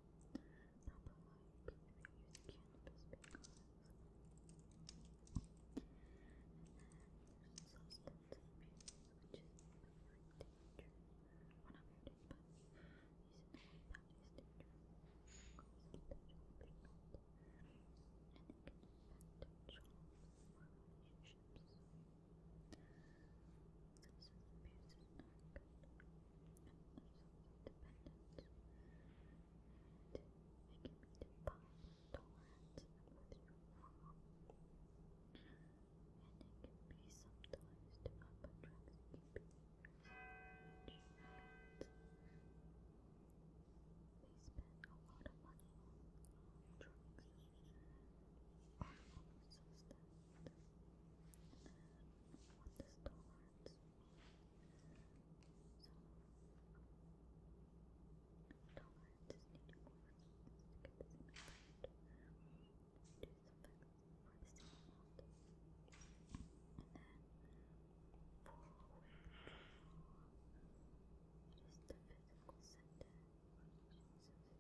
not the like you're using cannabis because and then substance abuse which is really dangerous well but using the way that is dangerous causes this is a piece of act of self-independence and and withdraw. And it can be sometimes to up attracts keeping They spend a lot of money on drugs. Almost as on the stones. So, tolerance need more to get this amount do something for the same amount. And then, for withdrawal, it is the physical sentence. So,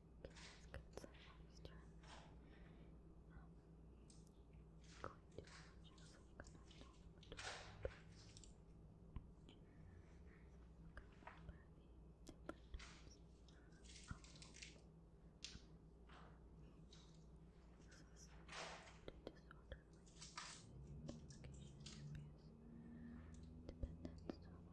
get some moisture. Um, going to just like a little bit. Dependence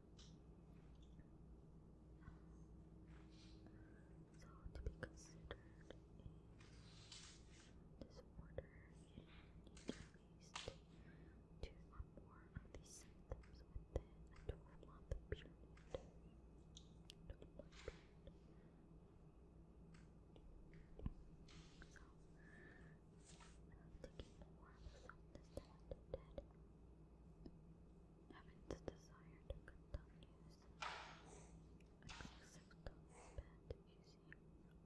So to be considered a disorder, you need at least more of these symptoms within a 12-month period looking for was understand dead. Heaven's desire to continues. A consistent bed is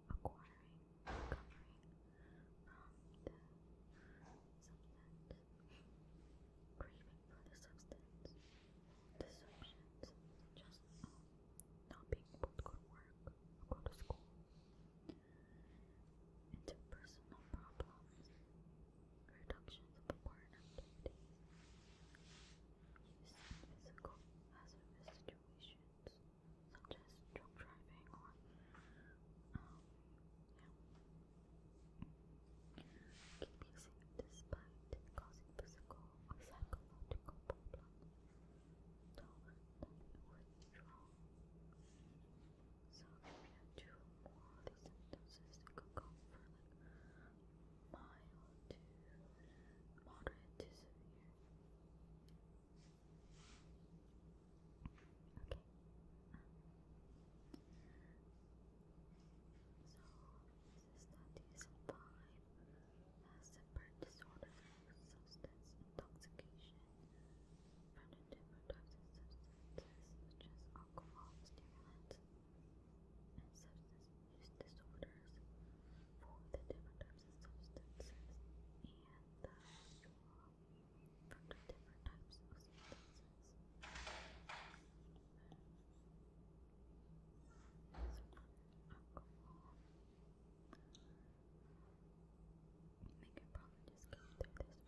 acquiring, recovering the substance, craving for the substance, deceptions, just um, not being able to go to work, go to school interpersonal problems, reductions of foreign use in physical hazardous situations such as drug driving or um, yeah. keep using despite causing physical psychological problems. Don't let so if you do more of these sentences, it could go for like mild to moderate to severe. Okay. So this study is five as separate disorder substance intoxication found in different types of substances such as alcohol, stimulants, and substance use disorders for the different types of substances and the from the different types of substances. So alcohol. We can probably just go through this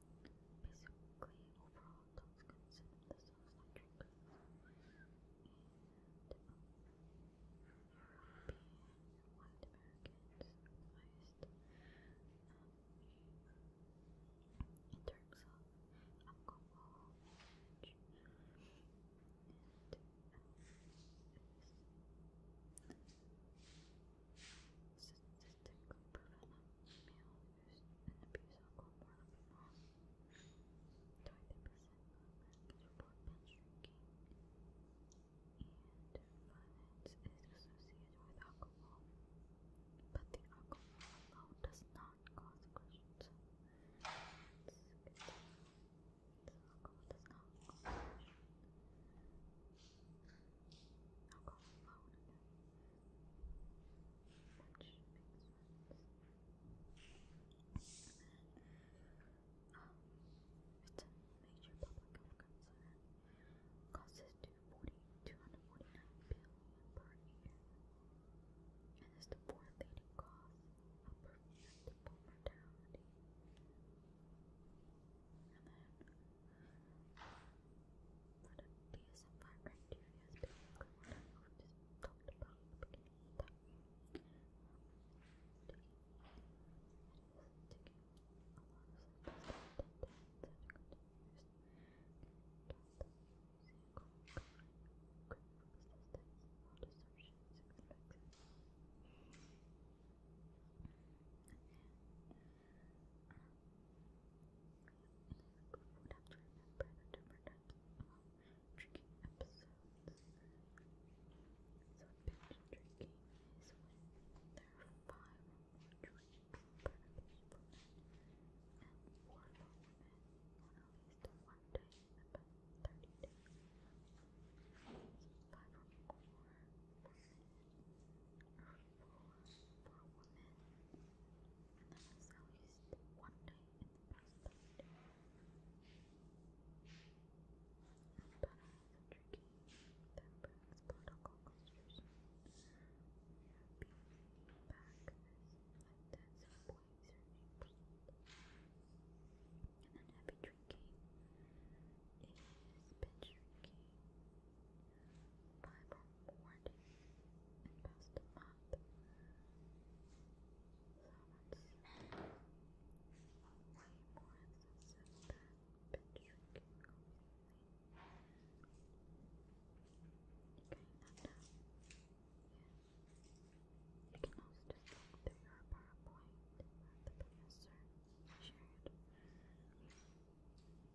Basically, overall, dogs consider themselves like drinkers. And um, white Americans most. in terms of alcohol And um, it is used in abuse alcohol pornography. 20% of Americans report drinking, and violence is associated with alcohol. But the alcohol alone does not cause aggression. alcohol does not cause aggression which makes it's a major public concern. Causes 240, per year, and is the fourth leading cause of preventable mortality. But the DSM 5 criteria is basically just talked about the beginning we would episodes. So binge drinking is when there are five or more drinks per occasion and four or more women on at least one day in about 30 days. five or more women or four for women and then one day in the past but Montana has a tricky temper as political constitution. Being back as like that subway surname. And then happy drinking is binge drinking. Bible warning in past month. So that's way more than binge drinking completely. Okay, and you can also just look through your PowerPoint that the professor shared and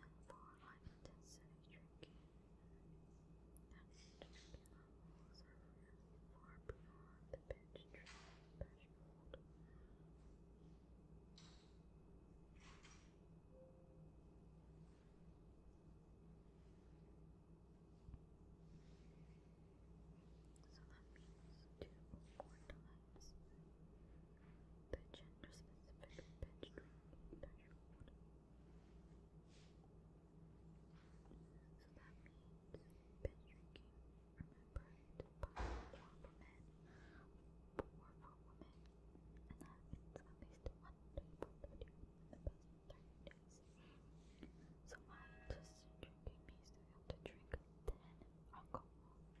then for life drinking, and drinking levels are really the binge drinking threshold. So that means two or as the gender-specific bedroom threshold. So that means binge drinking, remembered by more for men, more for women, and that at least one day per days. So my sister drinking means that you have to drink 10 alcohol drinks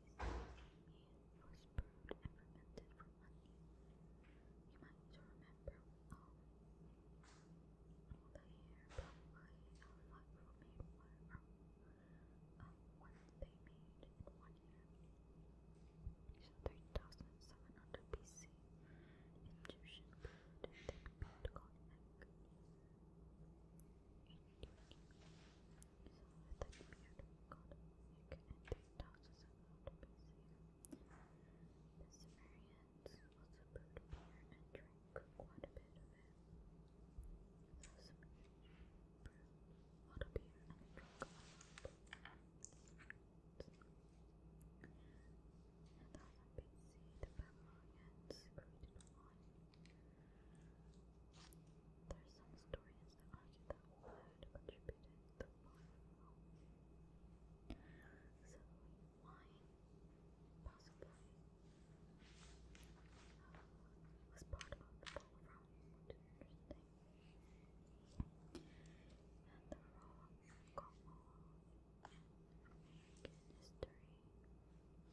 meat was brewed and fermented for money. You might remember all they made one year. So 3700 BC, Egyptian food that called egg with a The Sumerians also brewed beer and drank quite a bit of it. The brewed a lot of beer and drank a lot of it. In 1000 the Babylonians created wine. There are some historians that argue that Wood contributed to wine. So, wine, possibly, was part of the fall interesting. And the role of Como in history.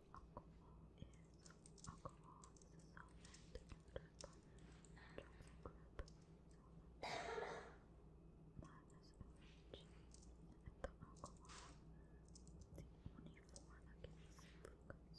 alcohol is. Alcohol is a solvent built up natural group minus OH. Ethyl alcohol the only form of glucose conserved alcohol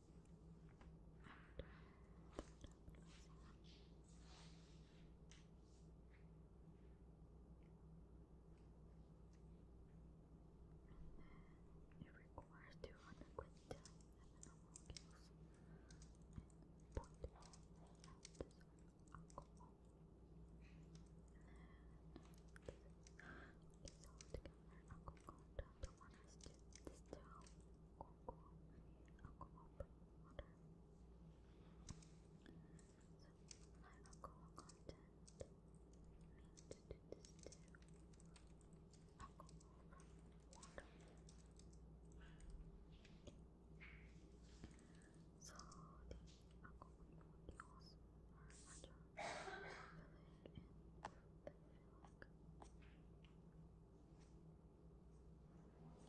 And it requires 200 quintillion molecules and point ounces of alcohol. And then it's all together alcohol down to one has to distill aqua, aqua water. So my alcohol content to do this Alcohol water. So the alcohol molecules are naturally populated in the philic. That means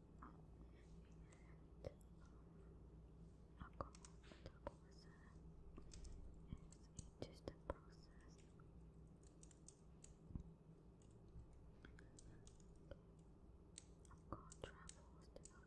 And alcohol metabolism is a distant process. Alcohol travels to the to the liver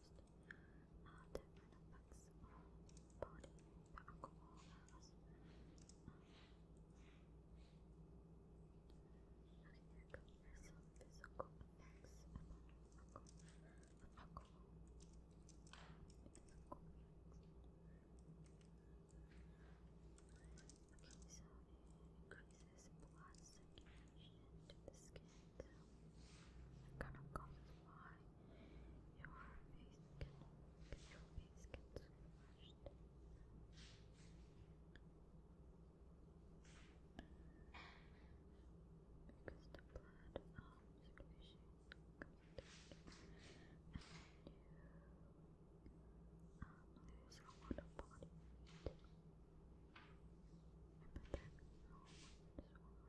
just uh, different effects on body that alcohol has. Um, okay, increases blood circulation to the skin. So, kind of going why your face can your face gets crushed. Because the blood um squishing comes down and you a lot of body heat. But then oh, no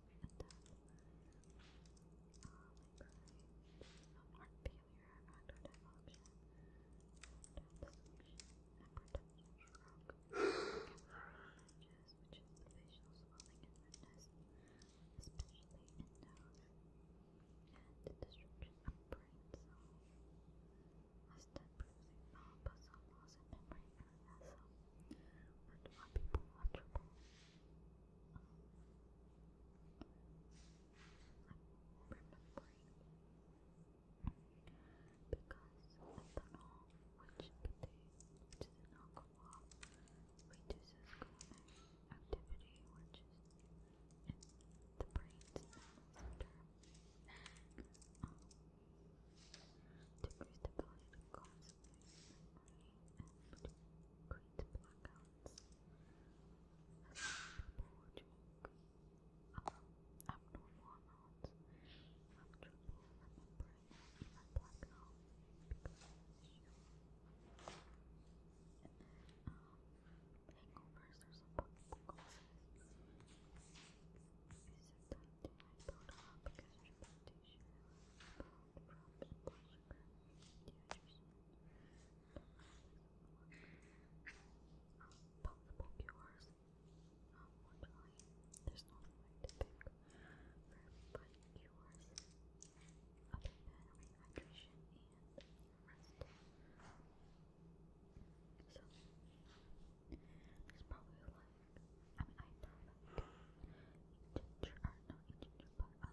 and death. Um, like um, heart failure, active option, and stroke. images, which is swelling and redness, especially in nose, and destruction of brain cells. Less than bruising, non-puzzle loss, and memory erasal, but more because ethanol, which contains an alcohol, reduces chronic activity, which is in the brain's receptor, um, decreases the ability to cause blackouts. People joke about abnormal amounts of trouble remembering even blackouts because it's you. And then, um, hangovers are supposed causes. Is it that you might build up extra tissue from the brush possible cures. there's no way to pick for other than rehydration and rest. So, there's probably like, I mean, I know not ginger,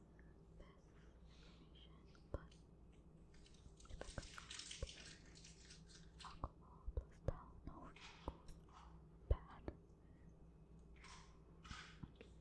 information, but typical alcohol plus Tylenol equals bad. Now let's move on to something that is related to communication.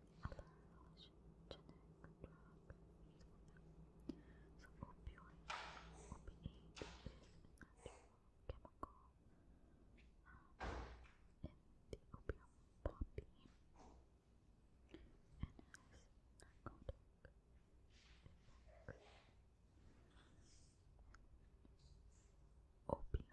Allows generic drugs. So opioid, opiate is a natural chemical in the opium poppy and has narcotic Opioids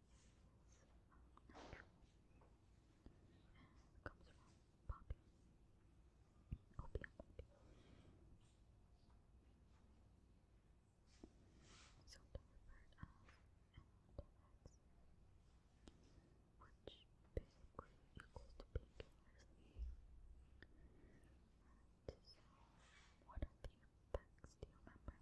natural comes from poppy. Opium, so referred as which basically equals to painkillers. And what are the effects? Do you remember?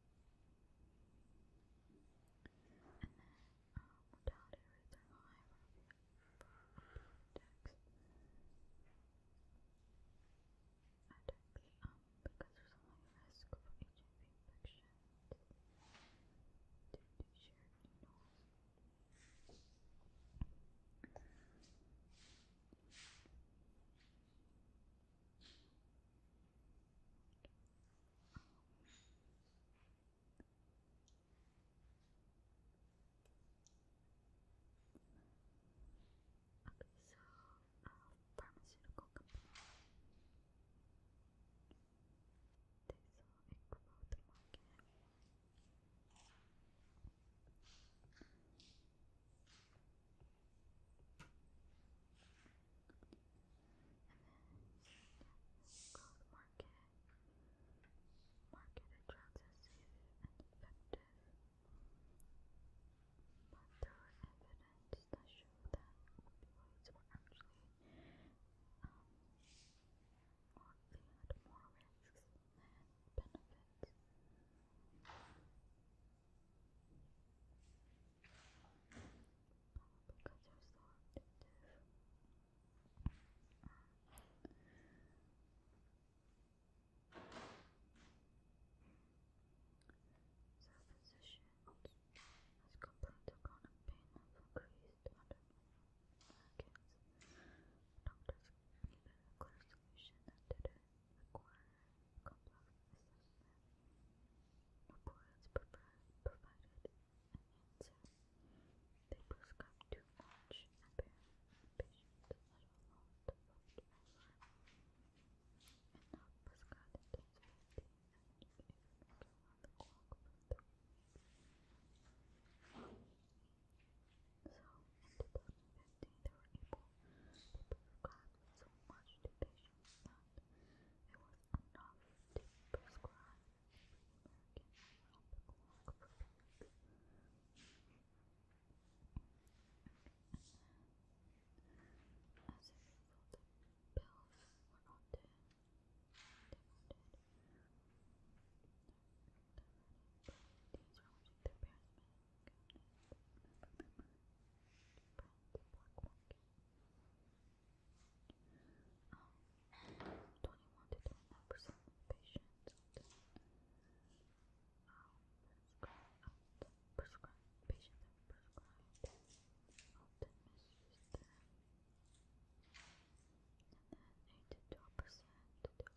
And then, um, mortality rates are high for attacks. Attacks, um, because there's a high risk for HIV infections due to shared needles. Okay, so pharmaceutical company. They saw a growth market gold market. Market drugs are safe effective. But there were evidence that showed that opioids were actually they had more risks than benefits because they has complained of chronic pain increased under Doctors give a clear solution that require complex assessment. Reporters provided an answer. They prescribed too and patients that allowed to vote over and not prescribed intense fatigue and experimental on the clock for they were so much to patients that it was enough to prescribe every American around the pills were not demanded. These were which their parents Black Monkey. 21 to 29% patients um, prescribed, prescribed, patients are prescribed, often misuse them. And then 8 to 12 to 12%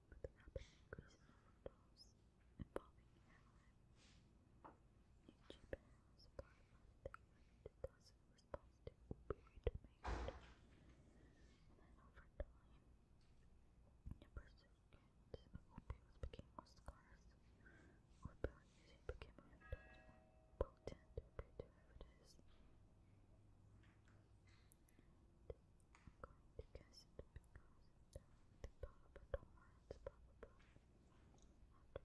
with the rapid increase in overdose involving heroin. In Japan, supply month they thus in response to opioid demand. And then over time, the pursuit of opioids became scarce. Opioid usage became more potent due to I'm going to the Papa Torrance probably after this long. Begin.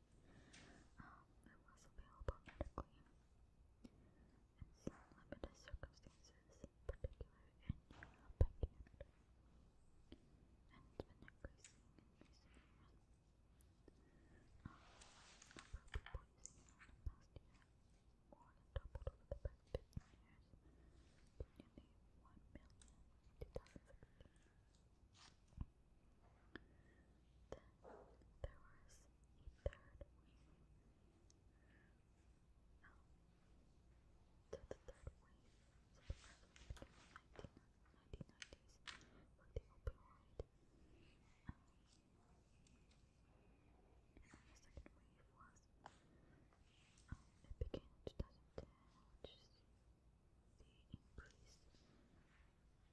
Um, it was available medically in some limited circumstances, particularly in Europe and Canada, and it's been increasing in recent years. Um, the number of people using it in the past year more than doubled over the past 15 years to nearly 1 million in 2016. Then there was a third wave. Now, to the third wave, so the first wave began in the 1990s with the opioid. Um, and then the second wave was, um, it began in 2010, which is the increase of overdose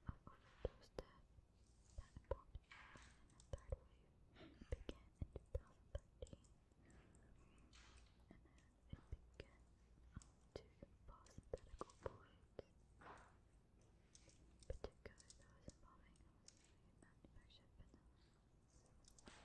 death that prompted a third wave began in 2013, and then it began to parenthetical points, particularly those involving illegally manufactured vanilla.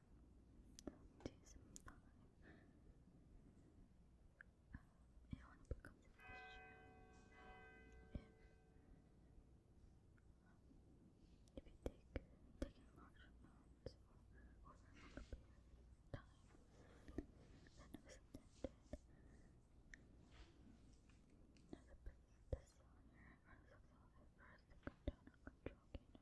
it only becomes an issue if, you take taking large amounts over a period of time than was intended. As a business desire, or as a thought to come down and control gain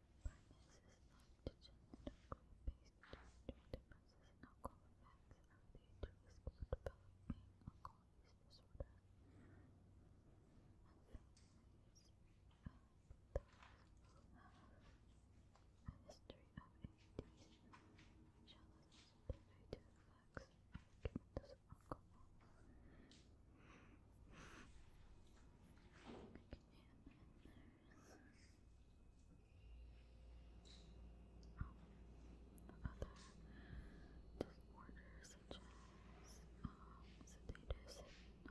Pharmacists like to generically based antidepressants and alcohol effects are viewed to exclude developing alcohol use disorder. And families and those history of ADs shall listen to of the of disorder such as sedative hypnotic and alcoholic disorder. Alcoholic disorders. As sedative is calming, like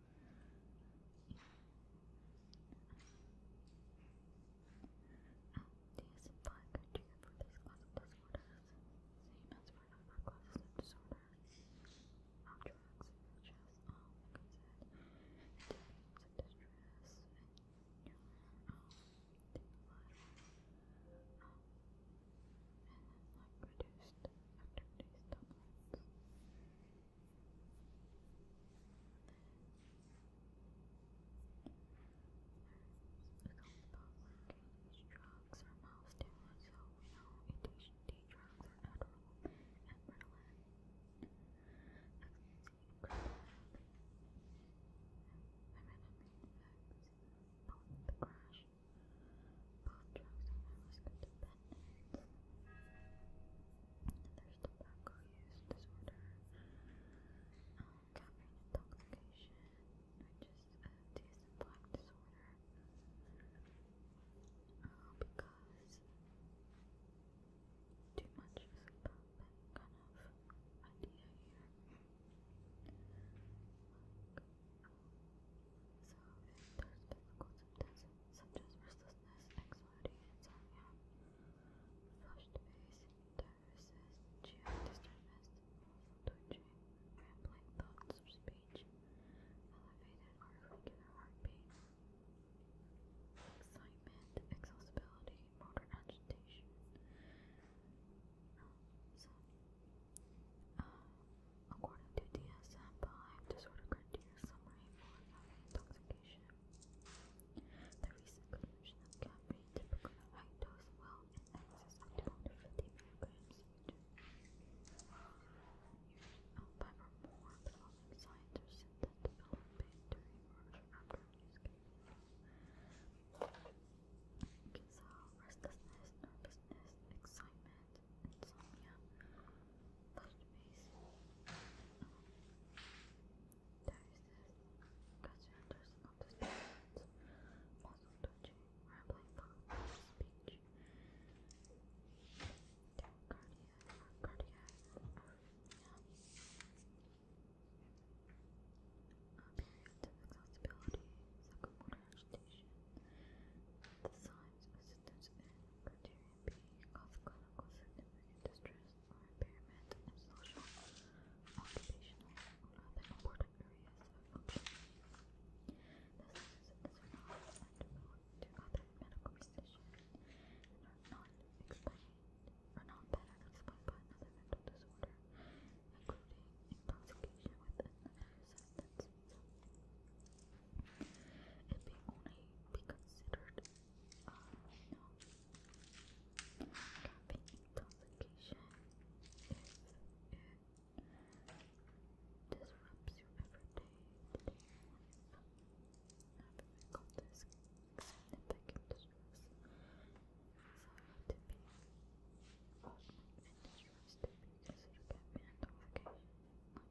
Do you supply for this class of disorders? Same as for other classes of disorders. Of drugs, such as, um, like I said, symptoms of distress, and, and produced and released omelets. The compound working drugs are mild stimulants, so we know ADHD drugs are Adderall and Ritalin. Ecstasy, Crystal, Feminine the crash contracts and manuscript appendix. There's tobacco use disorder, caffeine intoxication, which is a decent black disorder. because too much is about that kind of idea here. So, if there's physical symptoms such as restlessness, anxiety, insomnia, flushed face, diuresis, GI disturbance, twitching, rambling thoughts of speech, elevated or irregular heartbeat, excitement, exhaustibility, motor agitation. Um, so, uh, According to DSM-5 disorder criteria summary for intoxication, the recent consumption of caffeine, typical of high dose, well in excess of 250 milligrams of more the signs are seen that develop during or after use caffeine. restlessness, nervousness, excitement, insomnia, post-base, diastasis, conscientious of the spirits, muscle twitching, rambling thoughts, speech, tachycardia, cardiac arrhythmia, appearance of exhaustibility, psychomotor power station. The signs symptoms in criterion being of clinical significant distress impairment in social, occupational, or other important areas of function. This is not undeveloped to other medical conditions are not explained or not better explained by another mental disorder, including intoxication with another substance. It may only be considered uh, no. if it disrupts your everyday life. Having causes significant distress, anxiety, and distress to be considered caffeine intoxication.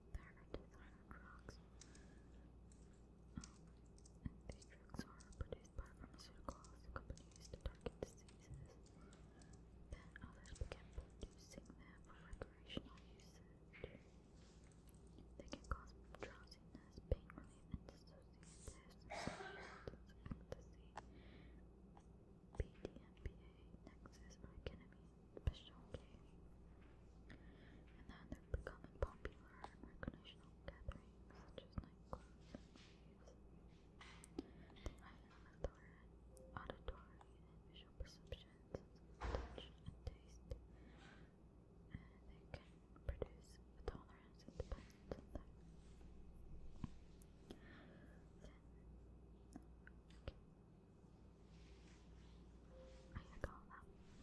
back onto the drugs. Um, these drugs are produced by pharmaceuticals companies to target diseases. Then others began producing them for recreational usage. They can cause drowsiness, pain relief, and dissociative symptoms, ecstasy, PDMPA, Nexus, or ketamine, special K and then they're becoming popular at recreational gatherings such as nightclubs and raves. The auditory and visual perceptions, touch and taste, and they can produce a tolerance and dependence okay. I got that.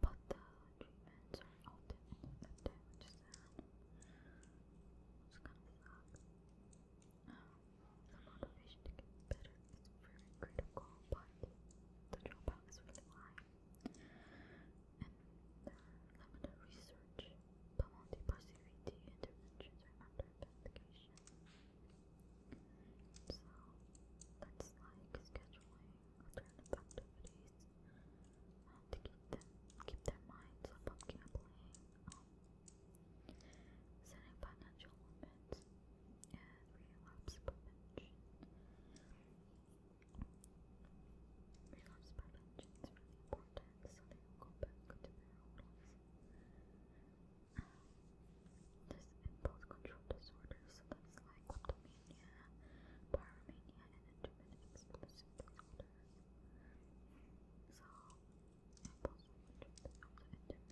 but the treatments are often ineffective, which kind of sucks. the motivation to get better is very critical, but the dropout is really high. And there are limited research, but multi-positivity interventions are under investigation. So that's like scheduling alternative activities to keep them keep their minds off of gambling, setting financial limits, and relapse prevention. Relapse prevention is really important so they will back to there's impulse control disorder, so that's kleptomania, pyromania, and intermittent explosive disorder. So, impulse control intermittent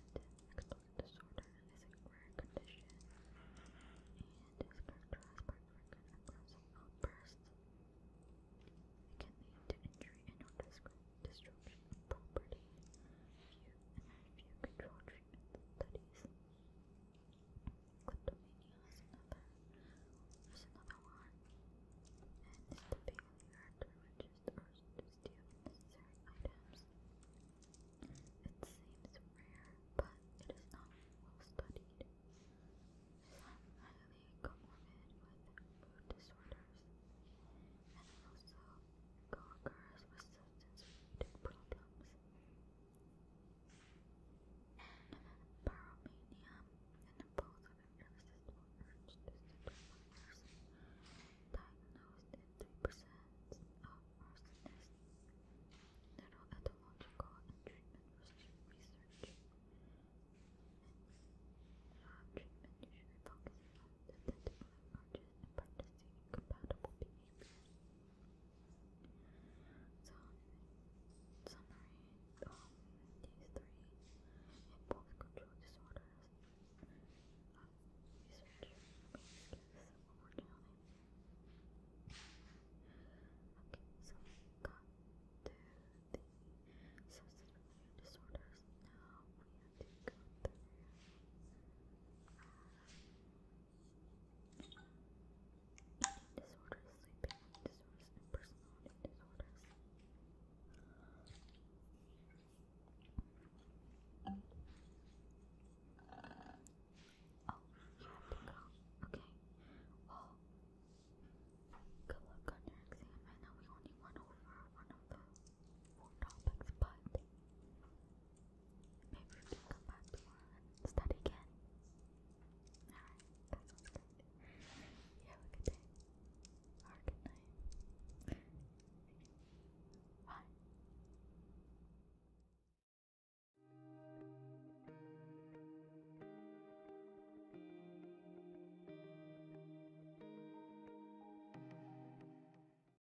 explosive disorder is a rare condition and is characterized by frequent aggressive outbursts. It to injury and or destruction of property, and idea control treatment studies. Kleptomania is another, is another one, and the failure to register or to steal necessary items. It seems rare, but it is not well studied. It's highly comorbid with mood disorders, and also co-occurs with substance-related and impulsive illnesses were urged to supervisors. Diagnosed in 3% of arsonists. Neuroethological and treatment research. And treatment usually focuses on the identifying practicing compatible behavior. So, summary, these three impulse control disorders um, research gives overwhelming. Okay, so we got to the substance related disorders. Now we have to go through. Eating disorders, sleeping disorders, personality disorders. Oh, you have to go. Okay. Well, good luck on your exam. I know we only went over one of the won't but maybe we can come back tomorrow and study again. Alright, that sounds good. You good day. Or a good night. Bye.